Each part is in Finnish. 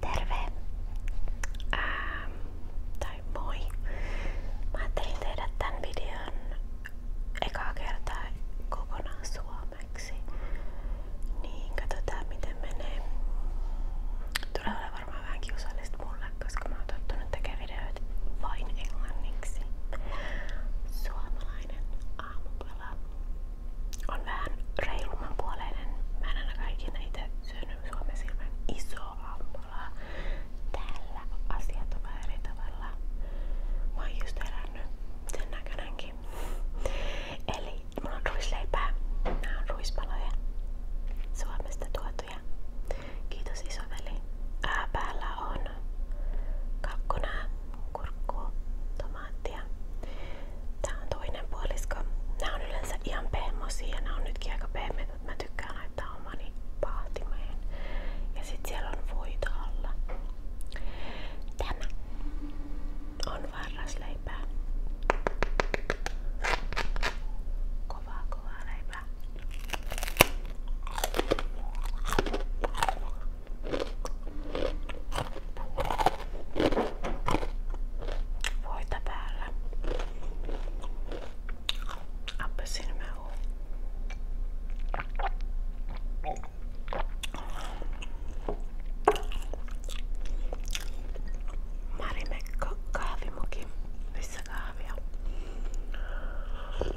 Terve! Ää, ähm, tai moi! Mä ajattelin tehdä tämän videon ekaa kertaa kokonaan suomeksi. Niin katsotaan miten menee. Tulee olemaan varmaan vähän kiusallista koska mä oon tottunut vain englanniksi. Suomalainen aamupala on vähän reilumman Mä en ainakaan ikinä syönyt Suomessa ilman isoa Täällä asiat on vähän Mä oon sen näkönenkin. Eli mulla on ruisleipää. Nää Suomesta tuotu juttuja. Kiitos isoveli. Ää, päällä on kakkonää, kurkkua, tomaattia. Tää on toinen puolisko. Nämä on yleensä ihan pehmosia ja nämä on nytkin aika pehmeät, mutta mä tykkään laittaa omani pahtimeen. Ja sit siellä on voita alla. Tämä on varrasleipää. Kovaa, kovaa leipää. Voita päällä. Appelsiinimehu. Marimekko kahvimuki, missä kahvia. Hyvä.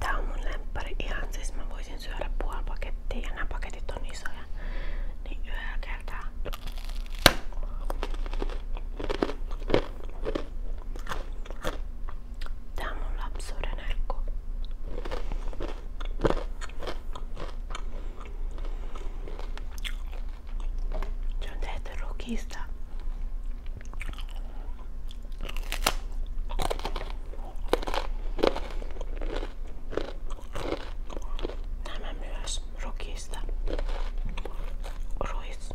Tää on mun lemppari ihan, siis mä voisin syödä puoli pakettia ja nämä paketit on isoja. Niin yhdellä kertaa. Tää on mun lapsuuden herkku. Se on tehty rukista. Nämä myös rukista. Ruis.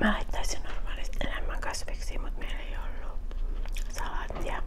Mä laittaisin normaalisti enemmän kasviksi, mutta meillä ei ollut salaattia.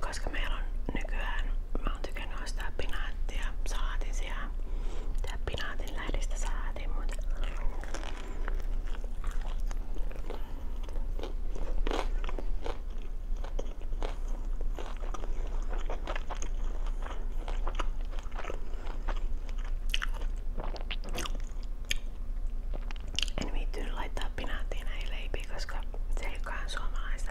Koska meillä on nykyään, mä oon tykännyt ostaa pinaattia, salaatin sijaan. Tää pinaatin lähdistä salaatin, mutta... En viittynyt laittaa pinaattiin näihin leipiin, koska se ei olekaan suomalaista.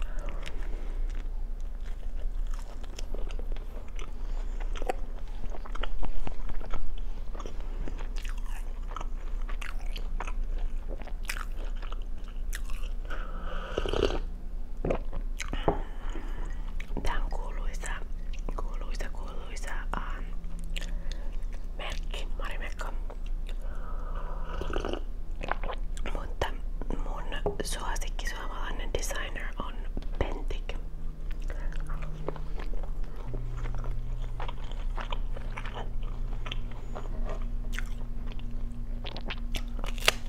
Tää on kuuluisa, kuuluisa, kuuluisa ähm, merkki, Marimekko. Mutta mun suosikki suomalainen designer on Pentik.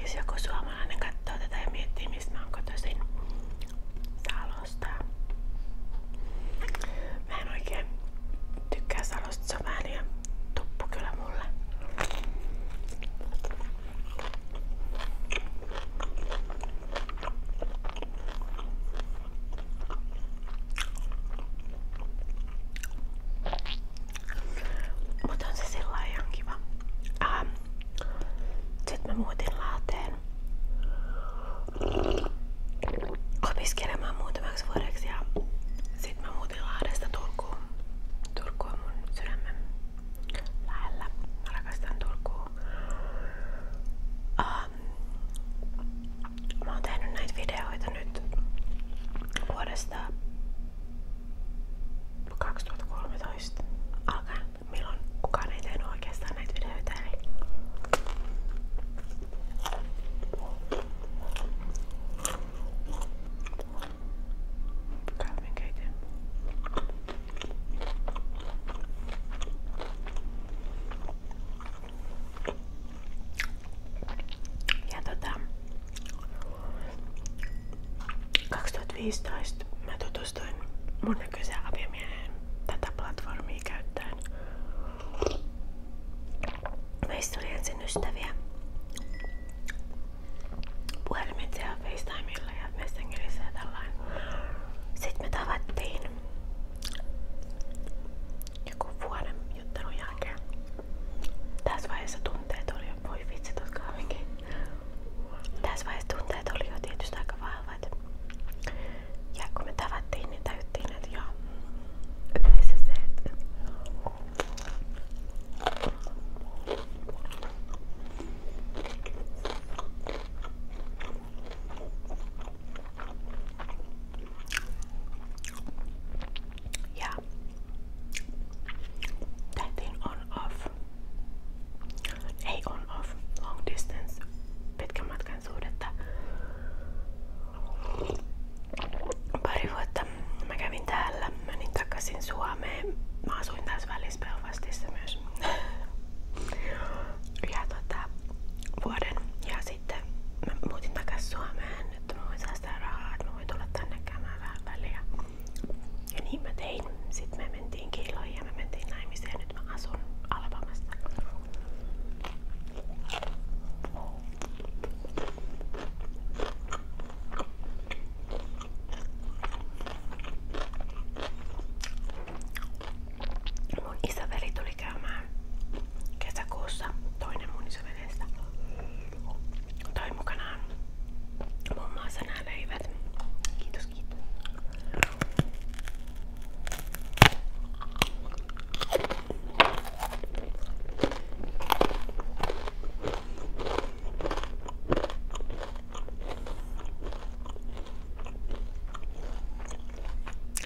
Jos joku suomalainen katsoo tätä ja miettii mistä mä oon kotoisin, saa lostaa. Mä en oikein tykkää kyllä mulle. Mut se sillä ihan kiva. Ähm, Sitten mä opiskelemaan muutamaksi vuodeksi ja sitten mä muutin Lahdesta Turkuun. Turku on mun sydämen lähellä. Mä rakastan Turkua. Um, mä oon tehnyt näitä videoita nyt vuodesta 2013 alkaen, milloin kukaan ei tehnyt oikeastaan näitä videoita. Eli Kahvinkeitin. Ja tota 2015 mä tutustuin mun nykyiseen aviomieheen tätä platformia käyttäen. Meistä oli ensin ystäviä. Puhelimitse ja FaceTimeilla ja Messengerissä ja tällainen. Sitten me tavattiin joku vuoden juttelun jälkeen. Tässä vaiheessa tunteet oli jo, voi vitsi tuossa kahvinkin. Tässä vaiheessa tunteet oli jo tietysti aika vahvat. Ja kun me tavattiin, niin täyttiin nyt jo yleisesti se, ja tähtiin on off. Ei on off. Long distance. Pitkän matkan suhdetta. Pari vuotta mä kävin täällä, menin takaisin Suomeen. Mä asuin taas Välispelvastissa myös. ja tota, vuoden. Ja sitten mä muutin takaisin Suomeen, että mä voin säästää rahaa, että mä voin tulla tänne käymään vähän väliä. Ja niin mä tein. Sitten me mentiin kiloihin ja me mentiin naimisiin ja nyt mä asun Alabamassa. Mun isäveli tuli käymään kesäkuussa toinen mun isävelistä. Toi mukanaan muun muassa nämä leivät. Kiitos, kiitos.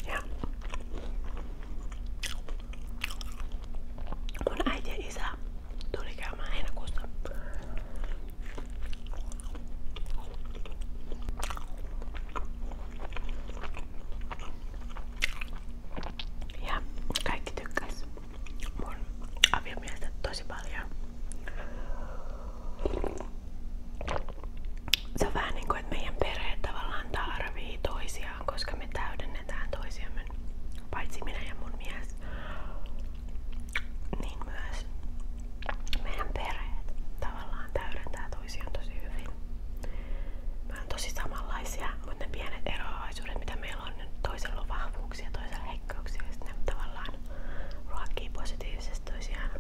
Yeah. One idea is that Dorigama and Ja kaikki tykkäs mun aviomiestä tosi paljon. Se on vähän niin kuin, että meidän perheet tavallaan tarvii toisiaan, koska me täydennetään toisiamme. Paitsi minä ja mun mies, niin myös meidän perheet tavallaan täydentää toisiaan tosi hyvin. Mä on tosi samanlaisia, mutta ne pienet eroavaisuudet, mitä meillä on, niin toisella on vahvuuksia, toisella heikkouksia, ja sitten ne tavallaan ruokkii positiivisesti toisiaan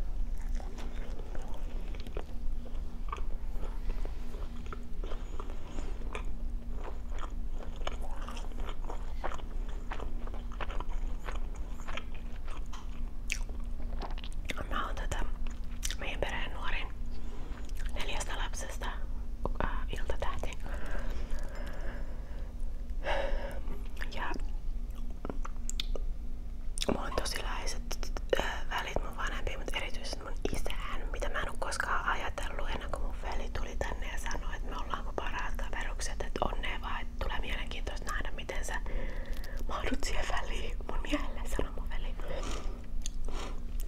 mä oon tätä meidän perheen nuorin neljästä lapsesta äh, iltatähti. Ja mulla on tosi läheiset äh, välit mun vanhempiin, mutta erityisesti mun isään, mitä mä en oo koskaan ajatellut ennen kuin mun veli tuli tänne ja sanoi, että me ollaanko parhaat kaverukset, että onnea vaan, että tulee mielenkiintoista nähdä miten sä mahdut siihen väliin mun miehelle, sanoi mun veli.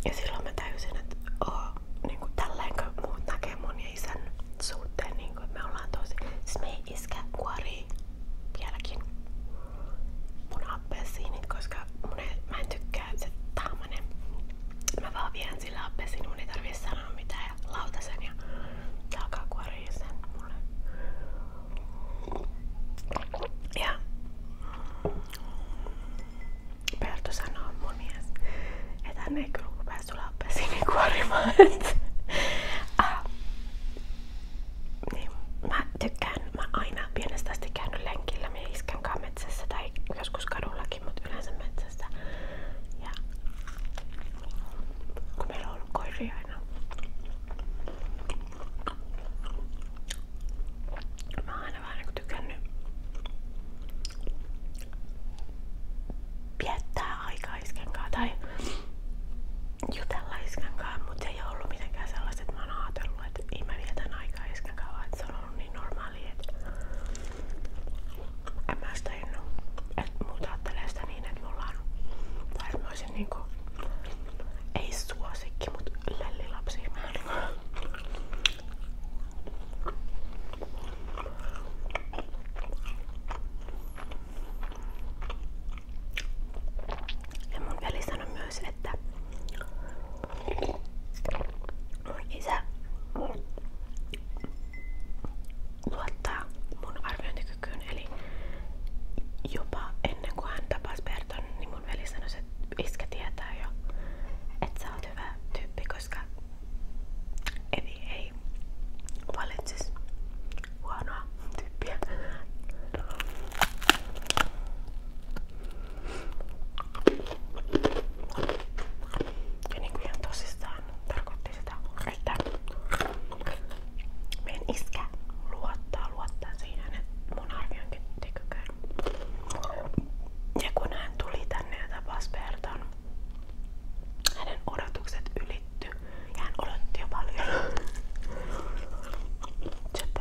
Ja silloin mä täysin, että oh, niin tälleenkö muut näkee mun ja isän suhteen, niin kuin, me ollaan tosi... Siis me ei iskä kuori vieläkin mun appelsiinit, koska mun ei, mä en tykkää, että se tahmanen. Mä vaan vien sillä appelsiin, mun ei tarvii sanoa mitään ja lautasen ja se alkaa kuoria sen mulle. Ja Perttu sanoo mun mies, että hän ei kyllä rupea sulaa kuorimaan. ah. niin, tykkään, mä aina pienestä asti käynyt lenkillä, me iskän metsässä tai joskus kadullakin, mutta yleensä metsässä. Ja kun koiria Mä oon aina vähän niinku tykännyt viettää aikaa iskenkaan tai jutella iskenkaan, mut ei oo ollut mitenkään sellaista, että mä oon ajatellut, että ei mä vietän aikaa iskenkaan, vaan se on ollut niin normaalia, että en mä sitä innu. Et muut ajattelee sitä niin, että mulla on, tai mä olisin niinku ei suosikki, mut lellilapsi. Ja mun veli sanoi myös, että mun isä luottaa mun arviointikykyyn, eli jopa ennen kuin hän tapasi Berton, niin mun veli sanoi, että iskä tietää jo, että sä oot hyvä tyyppi, koska Evi ei valitsisi huonoa tyyppiä. Ja niin kuin ihan tosissaan tarkoitti sitä, että meidän iskä luottaa, luottaa siihen, että mun arvioinkin tekökään ja kun hän tuli tänne ja tapasi Berton, hänen odotukset ylitty ja hän odotti jo paljon. Tjöpö.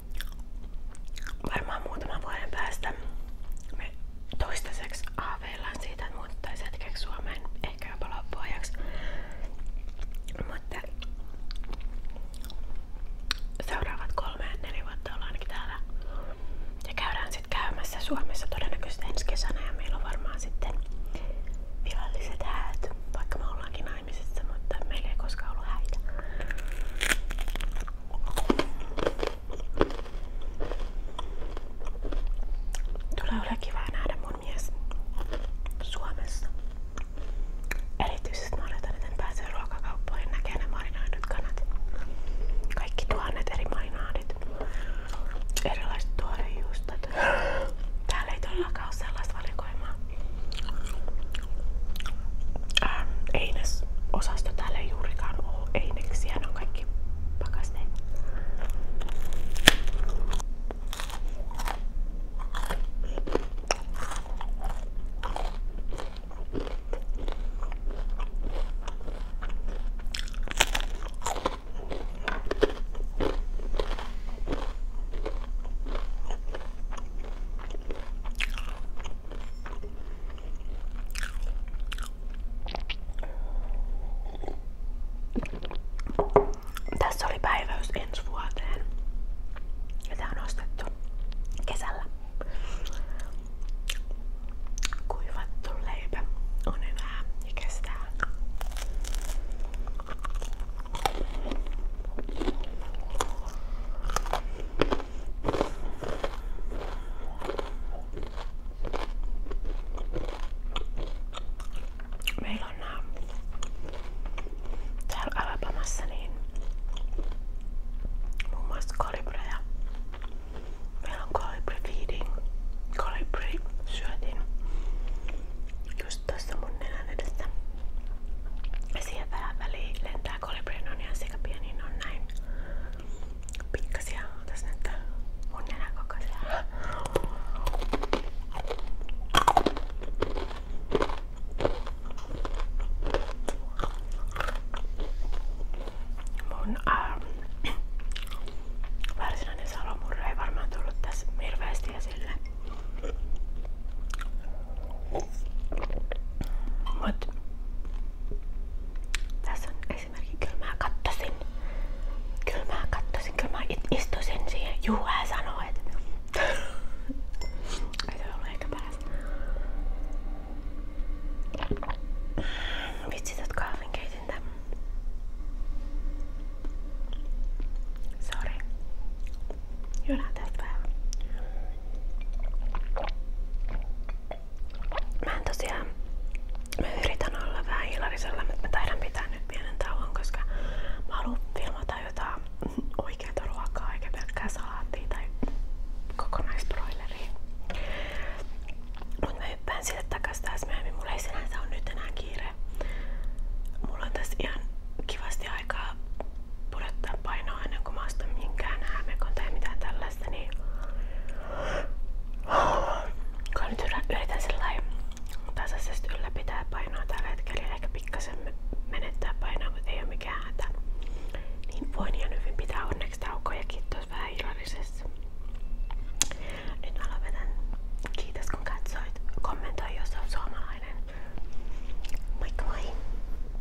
varmaan muutaman vuoden päästä me toistaiseksi haaveillaan siitä, että muuttaisiin hetkeksi Suomeen, ehkä jopa loppuajaksi. Mutta seuraavat kolme ja neljä vuotta ollaan ainakin täällä. Ja käydään sitten käymässä Suomessa todennäköisesti ensi kesänä ja meillä on varmaan sitten viralliset häät, vaikka me ollaankin naimisissa, mutta meillä ei koskaan ollut häitä. Tulee ole kivaa nähdä mun mies Suomessa. Erityisesti mä oletan, että en pääsee ruokakauppoihin näkee ne marinoidut kanat. Kaikki tuhannet eri marinaadit. Erilaiset tuorejuustot. Täällä ei todellakaan ole sellaista valikoimaa ähm, einesosasto täällä ei juurikaan ole eineksiä, ne on kaikki pakasteet. Tässä oli päiväys ensi vuoteen. Ja tää on ostettu kesällä. Kuivattu leipä on enää ja kestää. Meillä on nää ähm, täällä Alabamassa niin muun muassa kolibreja. Meillä on kolibri feeding, kolibri syötin just tässä mun nenän edessä. lentää tää Colibri sekä pienin niin on näin pikkasia. Otas nyt mun nenän kokoisia. Mun ähm, varsinainen salomurre ei varmaan tullut tässä hirveästi esille. Mut tässä on esimerkiksi kyllä mä kattosin. Kyllä mä kattosin, kyllä mä istuisin siihen. Juha sanoi, että ei se ollut ehkä paras. Vitsi tätä kahvinkeitintä. Sori. Juodaan tästä vähän. Mä en tosiaan, mä yritän olla vähän hilarisella, mutta mä taidan pitää nyt pienen tauon, koska mä haluan filmata jotain oikeata ruokaa eikä pelkkää salaattia tai kokonaisbroileria. Mut mä hyppään sille takas taas myöhemmin, mulla ei sinänsä ole nyt enää kiire. Mulla on tässä ihan kivasti aikaa pudottaa painoa ennen kuin mä ostan minkään häämekon tai mitään tällaista, niin kun nyt yritän sellainen tasaisesti ylläpitää painoa tällä hetkellä, ehkä pikkasen menettää painoa, kun ei ole mikään hätä, niin voin ihan hyvin pitää onneksi taukoja kiitos vähän illallisessa. Nyt mä lopetan. Kiitos kun katsoit. Kommentoi jos olet suomalainen. Moikka moi!